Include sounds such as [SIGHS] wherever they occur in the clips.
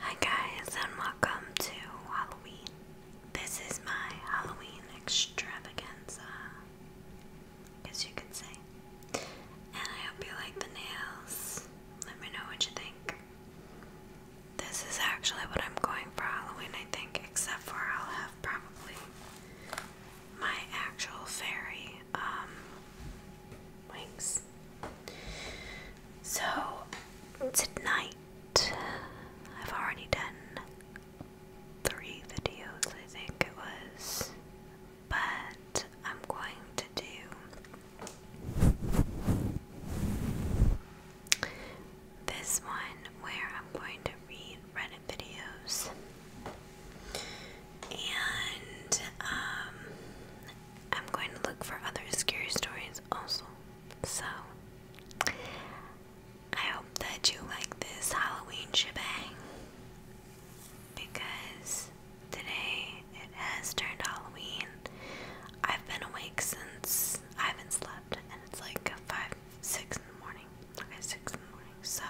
Hi guys and welcome to Halloween. This is my Halloween extravaganza, I you could say. And I hope you like the nails. Let me know what you think. This is actually what I'm going for Halloween, I think, except for I'll have probably my actual fairy um, wings. So, tonight, I've already done three videos, I think it was, but I'm going to do this one where I'm going to read Reddit videos and um, I'm going to look for other scary stories also. So I hope that you like this Halloween shebang because today it has turned Halloween. I've been awake since I haven't slept and it's like 5, 6 in the morning. Okay, 6 in the morning. So,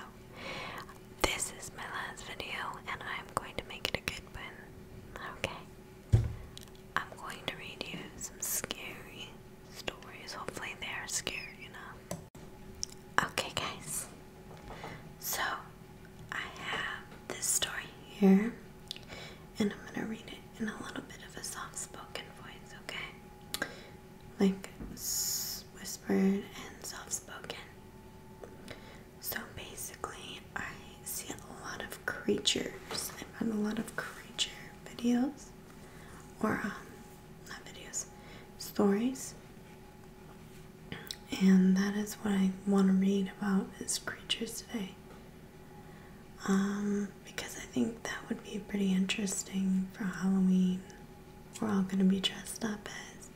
this is my last video and I'm going to make it a good one. Okay? I'm going to read you some scary stories. Hopefully, they are scary enough. Okay, guys. So, I have this story here and I'm gonna read it in a little bit of a soft spoken voice, okay? Like whispered and soft spoken. So basically, I see a lot of creatures. I've had a lot of creature videos, or um, not videos, stories, and that is what I want to read about is creatures today. Um, because I think that would be pretty interesting for Halloween. We're all going to be dressed up as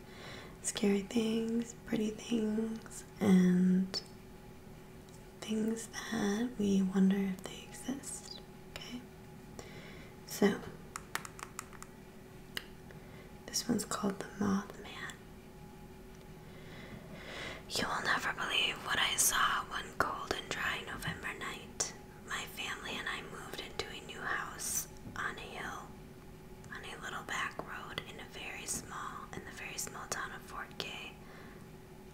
scary things, pretty things, and things that we wonder if they exist. Okay? So, this one's called The Mothman. You will never believe what I saw one cold and dry November night. My family and I moved into a new house on a hill, on a little back road in a very small, in the very small town of Fort Gay,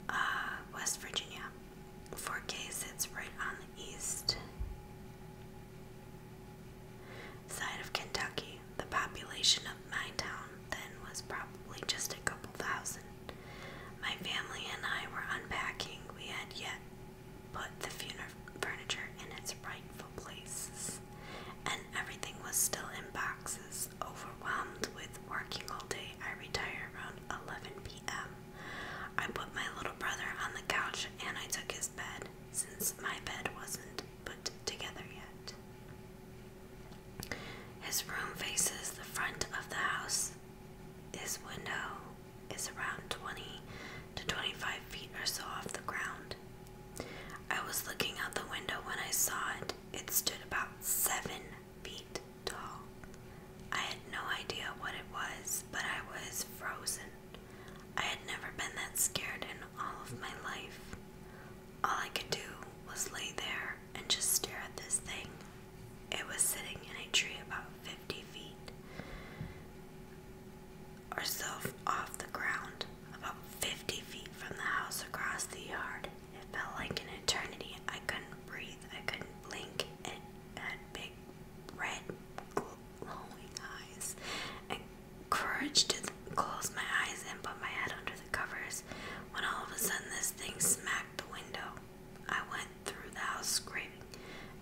uh, West Virginia. Fort Gay sits right on the east side of Kentucky. The population of my town then was probably just a couple thousand my family and I were unpacking. We had yet put the furniture in its rightful places, and everything was still in boxes. Overwhelmed with working all day, I retired around 11 p.m. I put my little brother on the couch and I took his bed, since my bed wasn't put together yet. His room faces the front of the house. His window is around 20 to 25 feet or so off the ground. I was looking out the window when I saw it. It stood about seven feet tall. I had no idea what it was, but I was frozen. I had never been that scared in all of my life. All I could do was lay there and just stare at this thing. It was sitting in a tree about 50 feet or so off the ground, about 50 feet from the house across the yard. It felt like an eternity. I couldn't breathe, I couldn't blink. It had big, red, glowing eyes. I courage to close my eyes and put my head under the covers when all of a sudden this thing smacked the window. I went through the house screaming.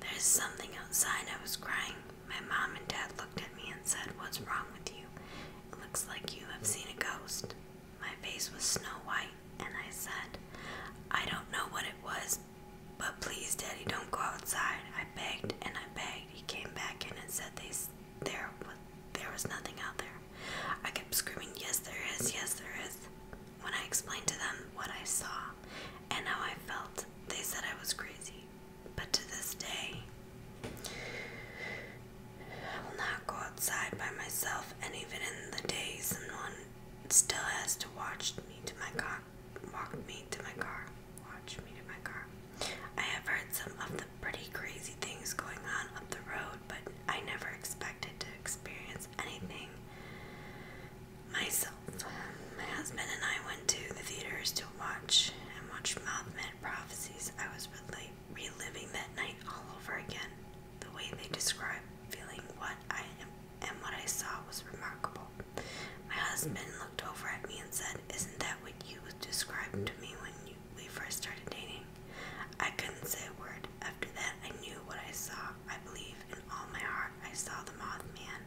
There's something outside. I was crying. My mom and dad looked at me and said, What's wrong with you? It looks like you have seen a ghost. My face was snow white, and I said, I don't know what it was, but please, Daddy, don't go outside. I begged and I begged. He came back in and said they there there was nothing out there. I kept screaming, yes there is, yes there is. When I explained to them what I saw and how I felt, they said I was crazy. But to this day, I will not go outside by myself, and even in the day, someone still has to watch me to my car, walk me to my car, watch me to my car. I have heard some of pretty crazy things going on up the road, but I never expected to experience anything myself. My husband and I went to the theaters to watch and watch Mothman Prophecies. I was really reliving that night all over again. The way they described feeling what I am and what I saw was remarkable. My husband looked over at me and said, Isn't that what you described to me when you we first started dating. I couldn't say a word. After that, I knew what I saw. I believe in all my heart I saw the Mothman.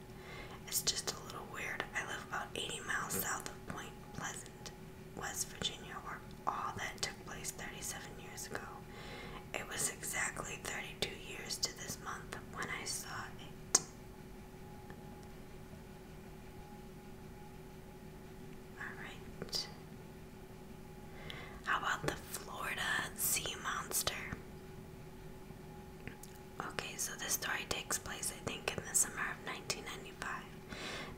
It's just a little weird. I live about 80 miles south of Point Pleasant, West Virginia, where all that took place 37 years ago. It was exactly 32 years to this month when I saw it. Alright. How about the Florida sea monster? Okay, so this story takes place, I think, in the summer of 1995.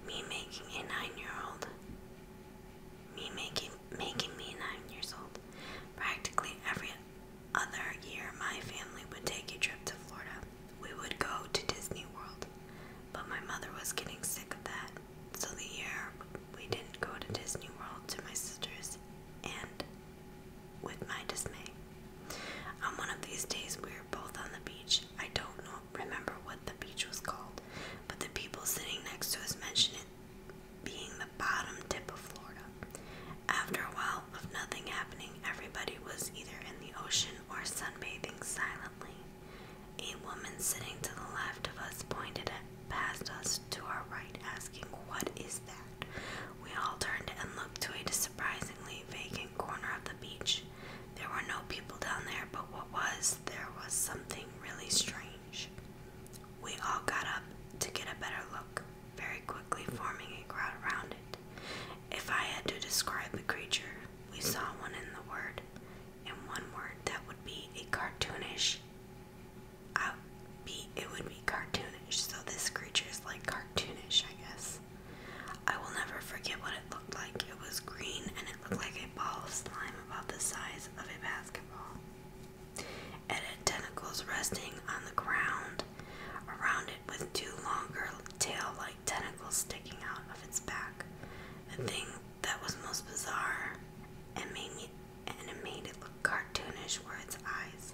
Me making a nine-year-old, me making making me nine years old. Practically every other year, my family would take a trip to Florida we would go to Disney World, but my mother was getting sick of that. So the year we didn't go to Disney World to my sister's, and with my dismay, on one of these days we were both on the beach. I don't know, remember what the beach was called, but the people sitting next to us mentioned it being the bottom tip of Florida. After a while of nothing happening, everybody was either in the ocean or sunbathing silently. A woman sitting to the left of us pointed past us to our right, asking, What is that? We all turned and looked to a surprisingly vacant corner of the beach. There were no people down there, but what was there was something really strange. We all got up to get a better look, very quickly forming a crowd around it. If I had to describe the creature, we saw one in the word, and one word that would be a cartoonish. I uh, be it would be cartoonish. So this creature is like cartoonish, I guess. I will never forget what it looked like. It was green and it looked like a ball of slime about the size of a basketball. and It tentacles resting on the ground. Around it with two longer tail like tentacles sticking out of its back. The hmm. thing that was most bizarre and made me and it made it look cartoonish were its eyes,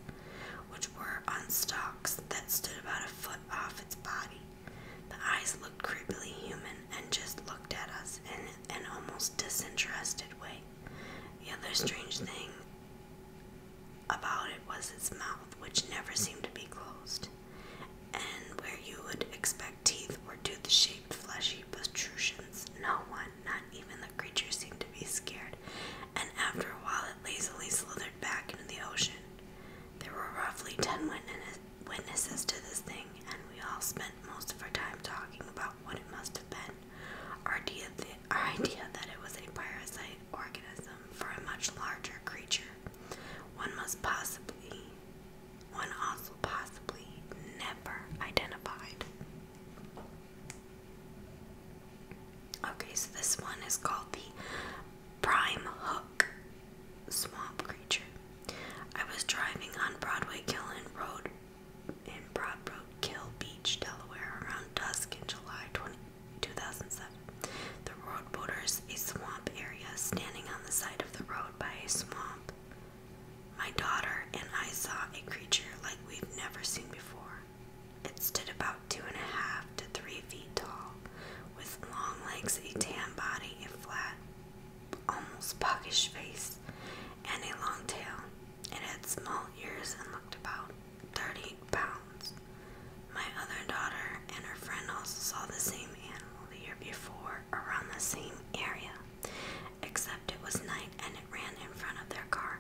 which were on stalks that stood about a foot off its body. The eyes looked creepily human and just looked at us in an almost disinterested way. The other hmm. strange thing about it was its mouth, which never seemed to be closed and where you would expect teeth were tooth-shaped fleshy protrusions. No one, not even the creature, seemed to be scared, and after a while it lazily slithered back into the ocean. There were roughly ten witnesses to this thing, and we all spent most of our time talking about what it must have been. Our idea, our idea that it was a parasite organism for a much larger creature one must possibly, one also possibly never identified. Okay, so this one is called the Prime Hook Swamp Creature. I was driving on Broadway Kill Road in Broadbroad Kill Beach, Delaware around dusk in July 20, 2007. The road borders a swamp area standing on the side of the road by a swamp. My daughter and I saw a creature like we've never seen before. It stood about two and a half to three feet tall, with long legs, a tan body, a flat, almost puggish face, and a long tail. It had small ears and looked about 30 pounds. My other daughter and her friend also saw the same animal the year before around the same area, except it was night and it ran in front of their car.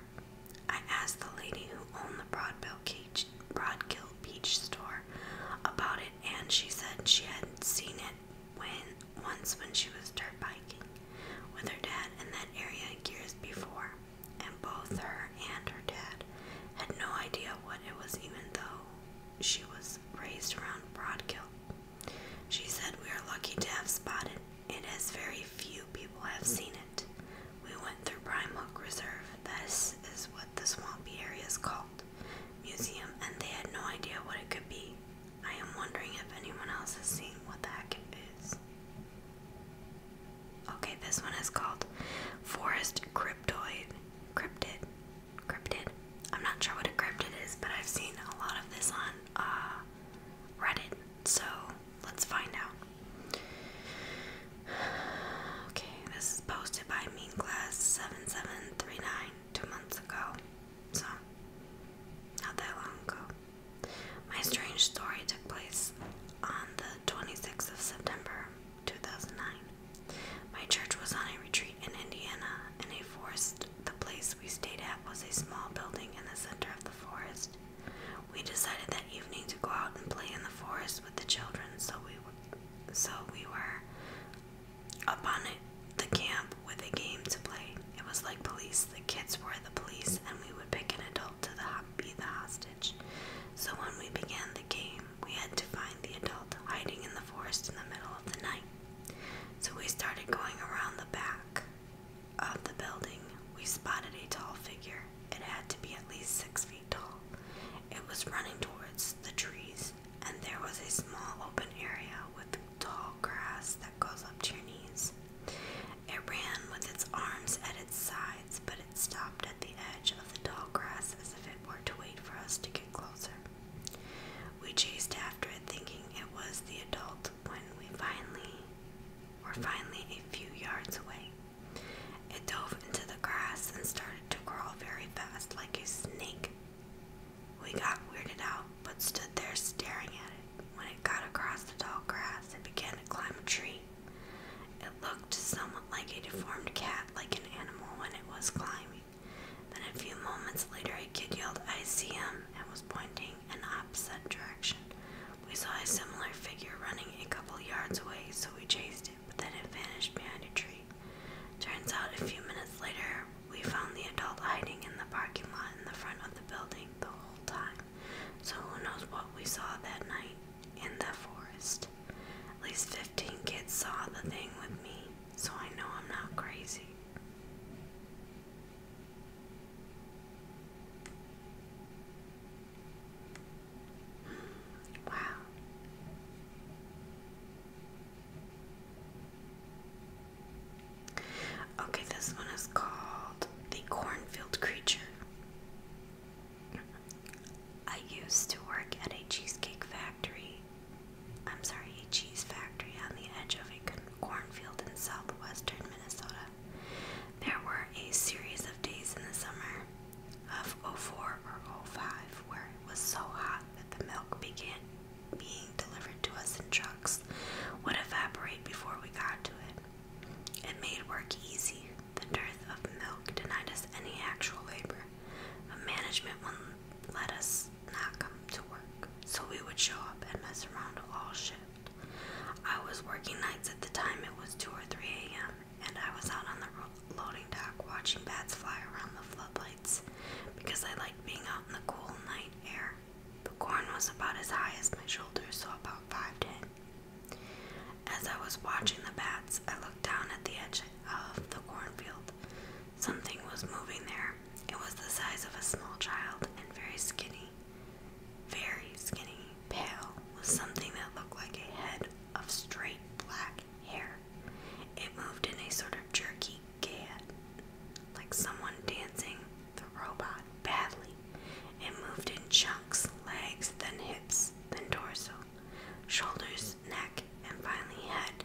I asked the lady who owned the Broadbill cage, Broadkill Peach store about it, and she said she had seen it when once when she was dirt biking with her dad in that area years before, and both her and her dad had no idea what it was, even though she was raised around Broadkill. She said we are lucky to have spotted it as very few people have seen it. We went through Prime Hook Reserve. This is what the swampy area is called. Museum, and they had no idea what it could be. I am wondering if anyone else has seen what the heck it is. Okay, this one is called Forest Cryptoid cryptid. Cryptid. I'm not sure what a cryptid is, but I've seen a lot of this on uh, Reddit, so let's find out. [SIGHS] Okay, this is posted by Mean Class 7739 two months ago, so not that long ago. My strange story took place on the 26th of September 2009. My church was on a retreat in Indiana, in a forest. The place we stayed at was a small building in the center of the forest. We decided that evening to go out and play in the forest with the children, so we so we were up on it, the camp with a game to play. It was like police. The kids were the police, and we would pick an adult to be the hostage. So when we began the game, we had to find the adult hiding in the forest in the middle of the night. So we started going around the back of the building. We spotted a tall figure. It had to be at least six feet tall. It was running towards the trees, and there was a small open area with tall grass that goes up to your knees. It ran with its arms at its sides but it stopped at the edge of the tall grass as if it were to wait for us to get closer. We chased after it, thinking it was the adult, when we finally were finally a few yards away. It dove into the grass and started to crawl very fast, like a snake. We got weirded out, but stood there staring at it. When it got across the tall grass, it began to climb a tree. It looked somewhat like a deformed cat, like an animal when it was climbing. Then a few moments later, a kid yelled, I see him, and was pointing in opposite direction. We saw a similar figure running a couple yards away, so we chased it, but then it vanished behind a tree. Turns out a few minutes later, we found the adult hiding in the parking lot in the front of the building the whole time. So who knows what we saw that night in the forest. At least 15 kids saw the thing with me, so I know I'm not crazy. Hmm, wow. Okay, this one is called The Cornfield Creature. I used to work at a cheesecake factory. I'm sorry, a cheese factory on the edge of a cornfield in southwestern Minnesota. There were a series of days in the summer of 04 or 05 where it was so hot that the milk began being delivered to us in trucks would evaporate before we got to it. It made work easy the dearth of milk denied us any actual labor, but management wouldn't let us not come to work, so we would show up and mess around all shift. I was working nights at the time, it was 2 or 3 a.m., and I was out on the loading dock watching bats fly around the floodlights because I liked being out in the cool night air. The corn was about as high as my shoulders, so about 5'10. As I was watching the bats, I looked down at the edge of the cornfield. Something was moving there. It was the size of a small child and very skinny, very skinny, pale, with something that looked like a head of straight black hair. It moved in a sort of jerky gait, like someone dancing the robot badly. It moved in chunks, legs, then hips, then torso shoulders, neck, and finally head.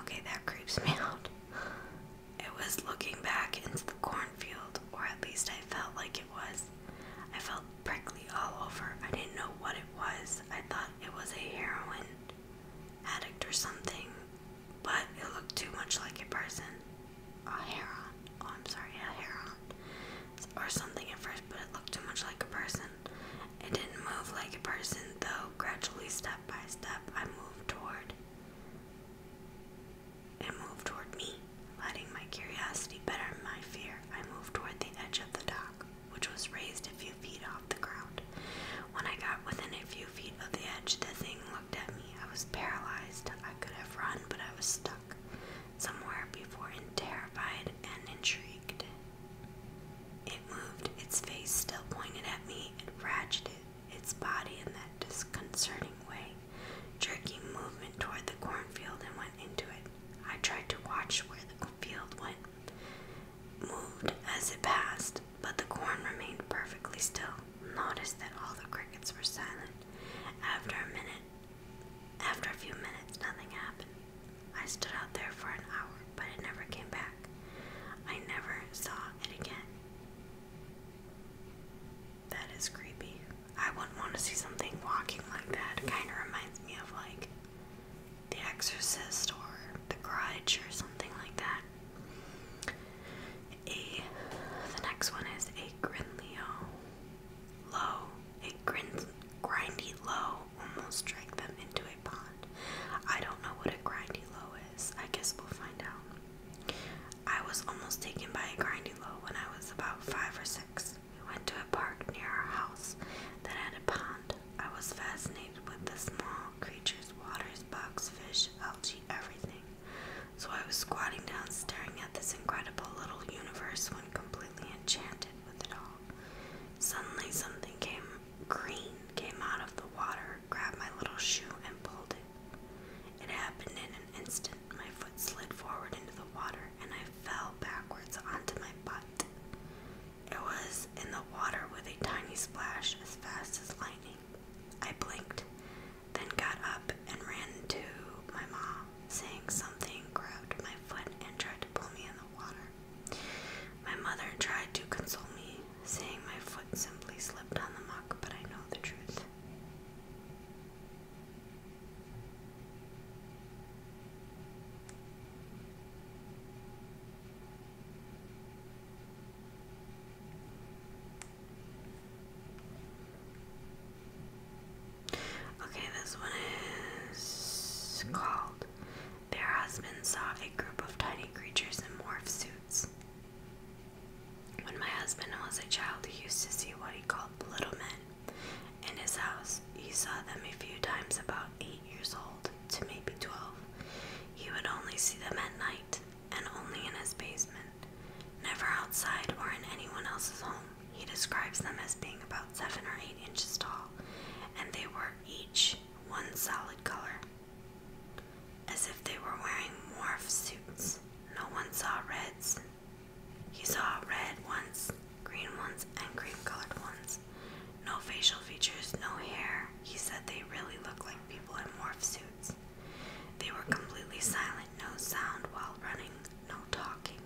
Okay, that creeps me out. It was looking back into the cornfield, or at least I felt like it was. I felt prickly all over. I didn't know what it was. I thought it was a heroin addict or something, but it looked too much like a person. A heron. Oh, I'm sorry, a heron or something at first, but it looked too much like a person. It didn't move like a person, though gradually, step by step, I moved toward. It moved toward me, letting my curiosity better my fear. I moved toward the edge of the dock, which was raised a few feet off the ground. When I got within a few feet of the edge, the thing looked at me. I was paralyzed. I could have run, but I was stuck somewhere before and terrified and intrigued. It moved, its face still pointed at me, it ratcheted its body in that disconcerting way, jerking movement toward the cornfield and went into it. I tried to watch where the field went, moved as it passed, but the corn remained perfectly still. Noticed that all the crickets were silent. After a minute, after a few minutes, nothing happened. I stood out there for an hour, but it never came back. I never saw it again. That is creepy. I wouldn't want to see something walking like that. It kind of reminds me of like The Exorcist or The Grudge or something like that. A, the next one is a Grinleo low, it grindy low, almost dragged them into a pond. I don't know what a grindy low is. I guess we'll find out. I was almost taken by a grindy low when I was about five or six. We went to a park near our house that had a pond. I was fascinated with the small creatures, waters, bugs, fish, algae, everything so I was squatting down, staring at this incredible little universe when completely enchanted with it all. Suddenly, something came green came out of the water, grabbed my little shoe, and pulled it. It happened in an instant. My foot slid forward into the water, and I fell backwards onto my butt. It was in the water with a tiny splash as fast as lightning. I blinked, then got up and ran to my mom, saying something grabbed my foot and tried to pull me in the water. My mother tried to console me, saying my foot simply slipped on the muck, but I know the truth. Okay, this one is called Their Husband Saw a Group of Tiny Creatures in Morph Suits. When my husband was a child, he used to see what he called little men in his house. He saw them a few times about eight years old to maybe twelve. He would only see them at night and only in his basement, never outside or in anyone else's home. He describes them as being about 7 or 8 inches tall, and they were each one solid color, as if they were wearing morph suits. No one saw reds. He saw red ones, green ones, and cream colored ones. No facial features, no hair. He said they really look like people in morph suits. They were completely silent, no sound while running, no talking,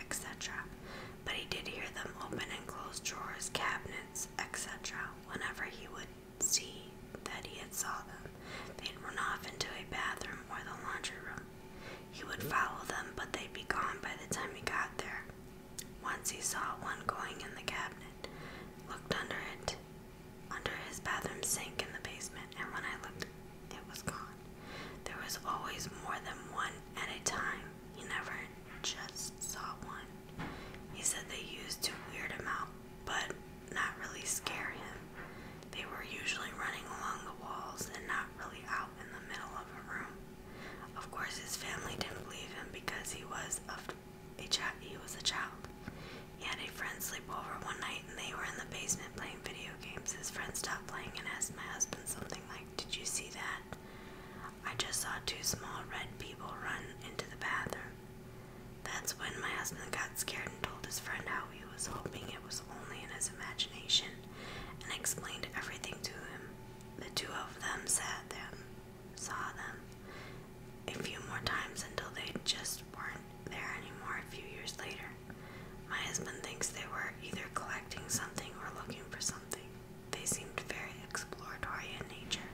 etc. But he did hear them open and close drawers, cabinets, etc. Whenever he would see that he had saw them, they'd run off into a bathroom or the laundry room. He would follow them, but they'd be gone by the time he got there. Once he saw one going in the cabinet, looked under it, under his bathroom sink in the basement, and when I looked it was gone. There was always more than one at a time. He never just saw one. He said they used to weird him out, but not really scare him. They were usually running along the walls and not really out in the middle of a room. Of course, his family didn't believe him because he was of a child. He was a child. He had a friend sleep over one night and they were in the basement playing video games. His friend stopped playing and asked my husband something like, Did you see that? I just saw two small red people run into the bathroom. That's when my husband got scared and told his friend how he was hoping it was only in his imagination and explained everything to him. The two of them sat them, saw them a few more times until they just weren't there anymore a few years later. My husband thinks they were either collecting something or looking for something. They seemed very exploratory in nature.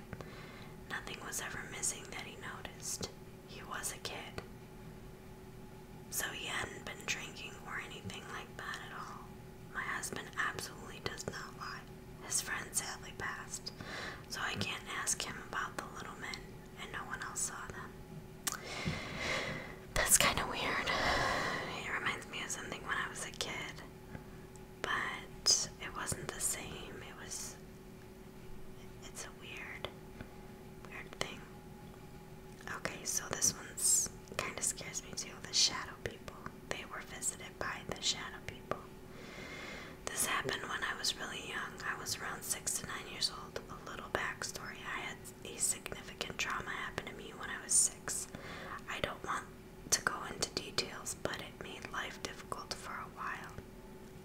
Nothing was ever missing that he noticed. He was a kid. So he hadn't been drinking or anything like that at all. My husband absolutely does not lie. His friend sadly passed, so I can't ask him about the little men and no one else saw them. That's kind of weird. It reminds me of something when I was a kid, but it wasn't the same. It was. It's a weird, weird thing. Okay, so this one's kind of scares me too. The shadow people. They were visited by the shadow people. This happened when I was really young. I was around six to nine years old. A little backstory I had a significant trauma happen to me when I was six. I don't want to go into details, but it made life difficult for a while.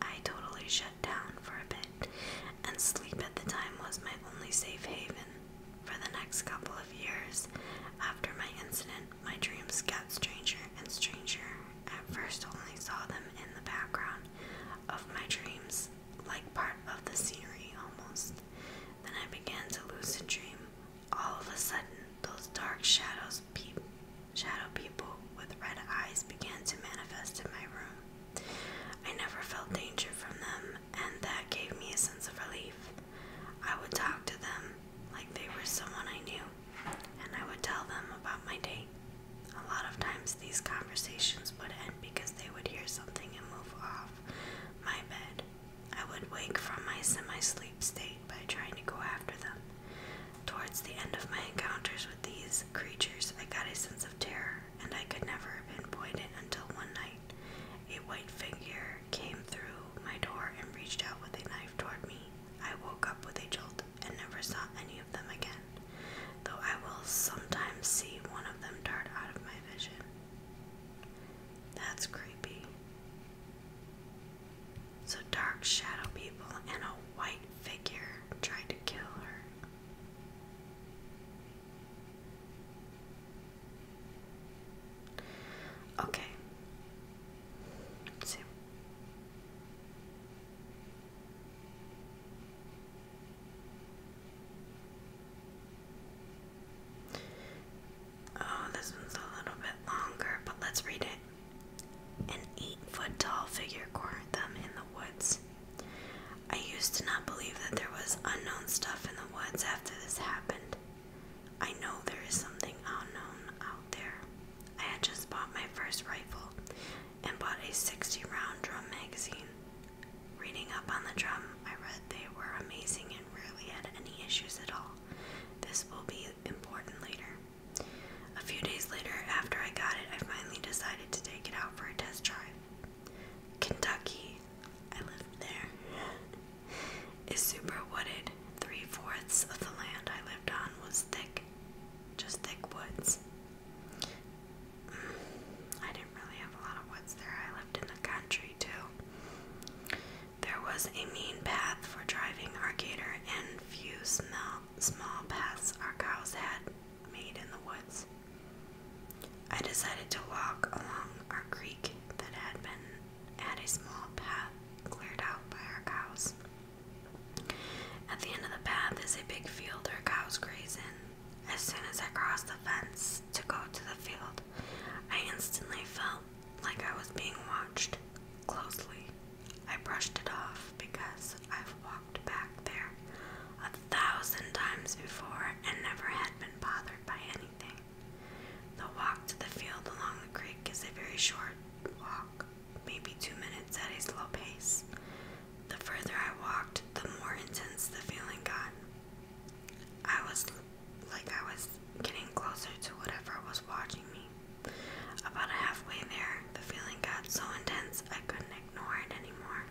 I totally shut down for a bit, and sleep at the time was my only safe haven. For the next couple of years after my incident, my dreams got stranger and stranger. At first, only saw them in the background of my dreams, was like part of the scenery almost. Then I began to lucid dream. All of a sudden, those dark shadows, peep, shadow people with red eyes, began to manifest in my room. I never felt danger from them, and that gave me a sense of relief. I would talk to them like they were someone I knew, and I would tell them about my day night. A lot of times these conversations would end because they would hear something and move off my bed. I would wake from my semi sleep state by trying to go after them. Towards the end of my encounters with these creatures, I got a sense of terror, and I could never pinpoint it until one night a white figure came through my door and reached out with a knife toward me. I woke up with a jolt and never saw any of them again, though I will sometimes see one of them dart out of my vision. That's creepy. So, dark shadow people and a white figure tried to kill her. Okay. see. Oh, this one's a little bit longer, but let's read it. An eight foot tall figure cornered them in the woods. I used to not believe that there was unknown stuff in the woods after this happened. I know there is something unknown out there. I had just bought my first rifle and bought a 60 round drum magazine. Reading up on the drum, I read they were amazing and rarely had any issues at all. This will be important later. A few days later, after I got it, I finally decided to take it out for a test drive. Kentucky, I lived there, is super wooded. Three fourths of the land I lived on was thick, just thick woods. I didn't really have a lot of woods there. I lived in the country too. There was a mean path for driving our gator, and few small, paths our cows had made in the woods. I decided to walk along our creek that had been at a small path cleared out by our cows. At the end of the path is a big field where cows graze in. As soon as I crossed the fence to go to the field, I instantly felt like I was being watched closely. I brushed it off because I've walked back there a thousand times before and never had been bothered by anything. The walk to the field along the creek is a very short walk, maybe two minutes at a slow pace. The further I walked, the more intense the feeling got. I was like I was getting closer to whatever was watching me. About halfway there, the feeling got so intense I couldn't ignore it anymore.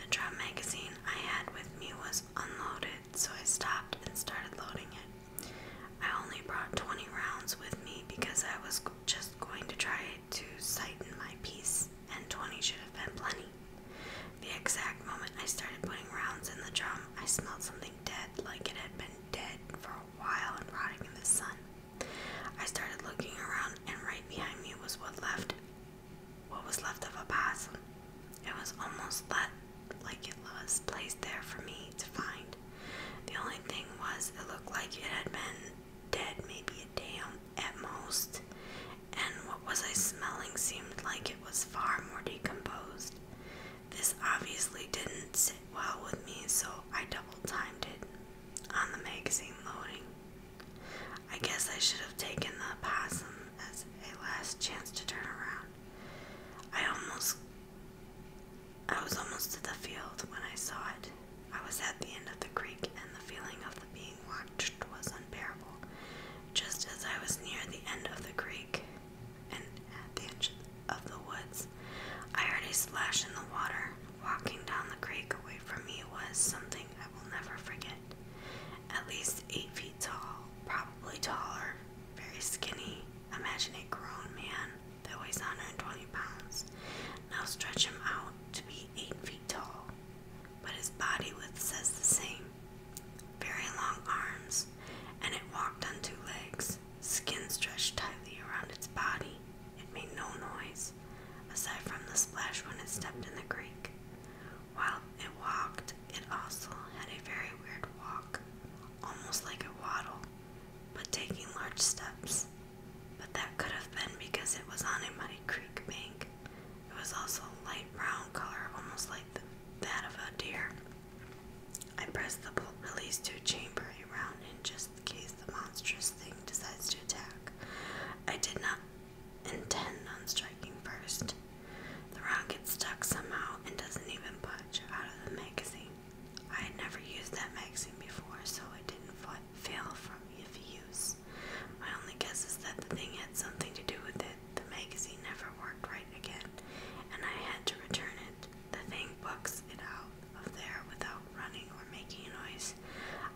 The drum magazine I had with me was unloaded, so I stopped and started loading it. I only brought 20 rounds with me because I was just going to try to sighten my piece, and 20 should have been plenty. The exact moment I started putting rounds in the drum, I smelled something dead, like it had been dead for a while and rotting in the sun. I started looking around, and right behind me was what left, what was left of a possum. It was almost left, like it was placed there for me to find. The only thing was, it looked like it had been dead maybe a day at most, and what was I smelling seemed like it was far more decomposed. This obviously didn't sit well with me, so I double timed it on the magazine loading. I guess I should have taken the possum as a last chance to turn around. I almost I was almost to the field when I saw it. I was at the end of the creek, and the feeling of being watched was unbearable. Just as I was near the end of the creek and at the edge of the woods, I heard a splash in the water. Walking down the creek away from me was something I will never forget. At least eight feet tall, probably taller, very skinny. Imagine a grown man that weighs 120 pounds. Now stretch him out to be 8 feet tall, but his body width says the same. Very long arms, and it walked on two legs, skin stretched tightly around its body. It made no noise, aside from the splash when it stepped in the creek. While it walked, it also had a very weird walk, almost like a waddle, but taking large steps but that could have been because it was on a muddy creek bank. It was also light brown color, almost like that of a deer. I press the release to chamber a round in just case the monstrous thing decides to attack. I did not intend on striking first. The round gets stuck somehow and doesn't even budge out of the magazine. I had never used that magazine before, so it didn't fail from if use. My only guess is that the thing had something to do with it. The magazine never worked right again, and I had to return it. The thing books it out of there without running or making a noise.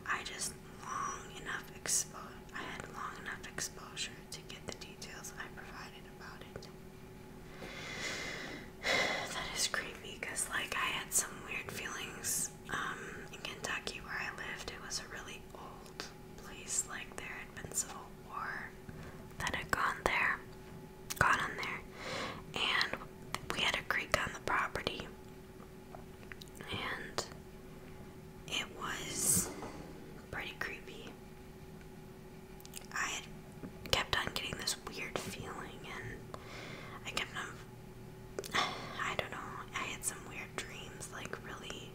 I just long enough expo I had long enough exposure to get the details I provided about it. [SIGHS] that is creepy because, like, I had some weird feelings um, in Kentucky where I lived. It was a really old place. Like, there had been civil war that had gone there, gone on there, and we had a creek on the property, and it was pretty creepy. I had kept on getting this weird feeling, and I kept on. [SIGHS] I don't know. I had some weird dreams, like really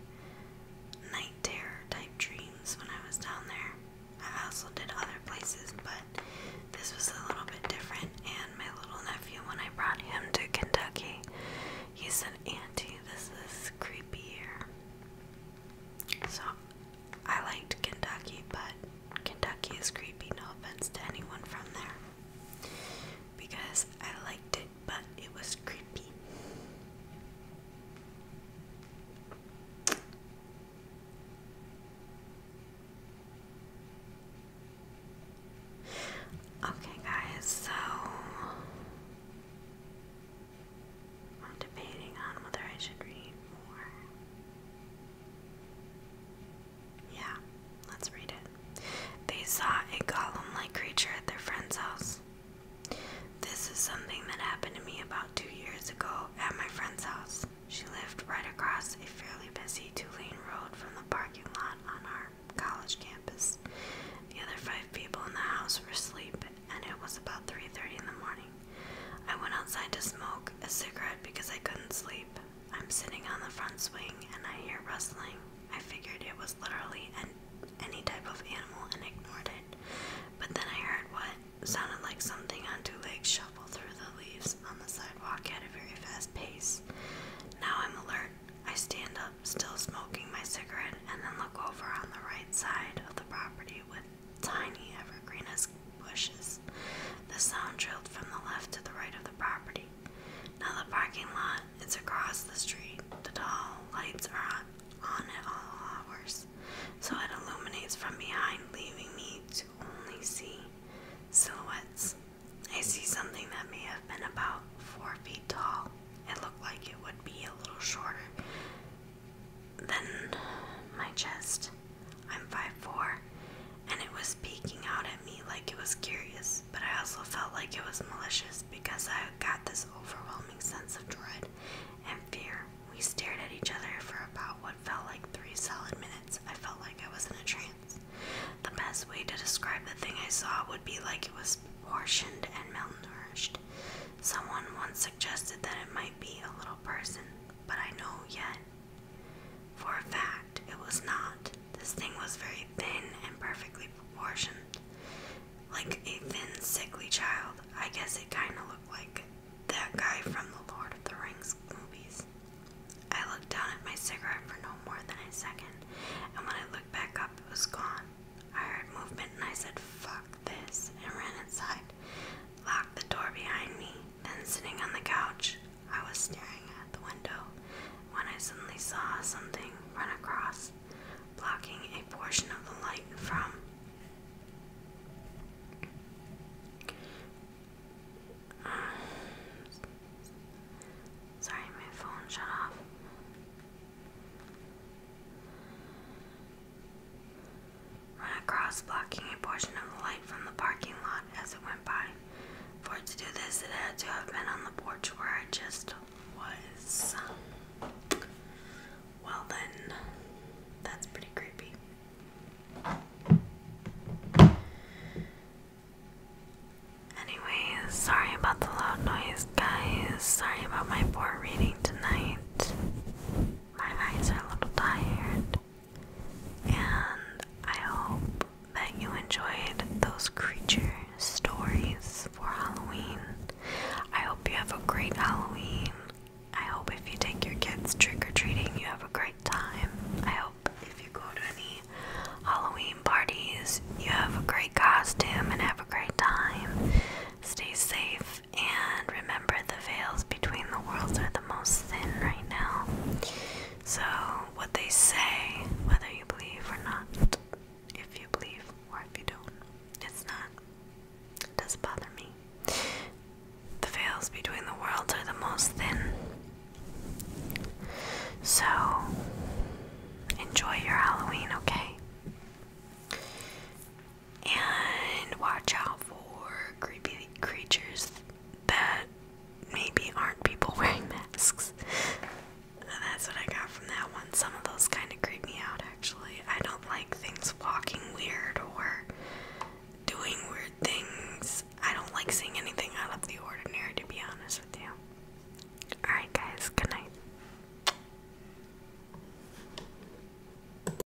night terror type dreams when I was down there. I also did other places, but this was a little bit different. And my little nephew, when I brought him to Kentucky, he said, Auntie, this is creepier. So I liked Kentucky, but Kentucky is creepy, no offense to anyone from there. Because I liked it, but it was creepy. Okay, guys, so I'm debating on whether I should read more. Yeah, let's read it. They saw a golem like creature at their friend's house. This is something that happened to me about two years ago at my friend's house. She lived right across a fairly busy two lane road from the parking lot on our college campus. The other five people in the house were asleep and it was about 3:30 in the morning. I went outside to smoke a cigarette because I couldn't sleep. I'm sitting on the front swing and I hear rustling. I figured it was literally any type of animal and ignored it. But then I heard what sounded like something on two legs shuffle through the leaves on the sidewalk at a very fast pace. Now I'm alert. I stand up, still smoking my cigarette, and then look over on the right side of the property with tiny evergreen bushes. The sound drilled from the left to the right of the property. Now the parking lot is across the street. The tall lights are on at all hours, so it illuminates from behind, leaving me to only see silhouettes. I see something that may have been about four feet tall. It looked like it would be a little shorter than my chest. I'm 5'4, and it was peeking out at me like it was curious, but I also felt like it was malicious because I got this overwhelming sense of dread and fear. We stared at each other for about what felt like three solid minutes. I felt like I was in a trance. The best way to describe the thing I saw would be like it was portioned and malnourished. Someone once suggested that it might be a little person, but I know yet for a fact, it was not. This thing was very thin and perfectly proportioned. Like a thin, sickly child. I guess it kind of looked like that guy from the Lord of the Rings movies. I looked down at my cigarette for no more than a second, and when I looked back up, it was gone. I heard movement and I said, fuck this, and ran inside locked the door behind me, then sitting on the couch, I was staring at the window when I suddenly saw something run across, blocking a portion of the light from. [SIGHS] sorry, my phone shut off run across, blocking a portion of the light from the parking lot as it went by. For to do this, it had to have been on the porch where I just was. Well, then, that's pretty creepy. Anyways, sorry about the loud noise, guys. Sorry about my poor reading tonight. My eyes are a little tired. And I hope that you enjoyed those creature stories for Halloween. I hope you have a great Halloween. I hope if you take your kids trick or treating, you have a great time. I hope if you go to any Halloween parties, you have a great costume and have a great time. Stay safe and remember, the veils between the worlds are the most thin right now. So, what they say, whether you believe or not, if you believe or if you don't, it's not, it doesn't bother me. The veils between the worlds are the most thin. So, enjoy your Halloween, okay? and watch out for creepy creatures that maybe aren't people [LAUGHS] wearing masks. that's what I got from that one. Some of those kind of creep me out actually. I don't like things walking weird or doing weird things. I don't like seeing anything out of the ordinary to be honest with you. Alright, guys, good night.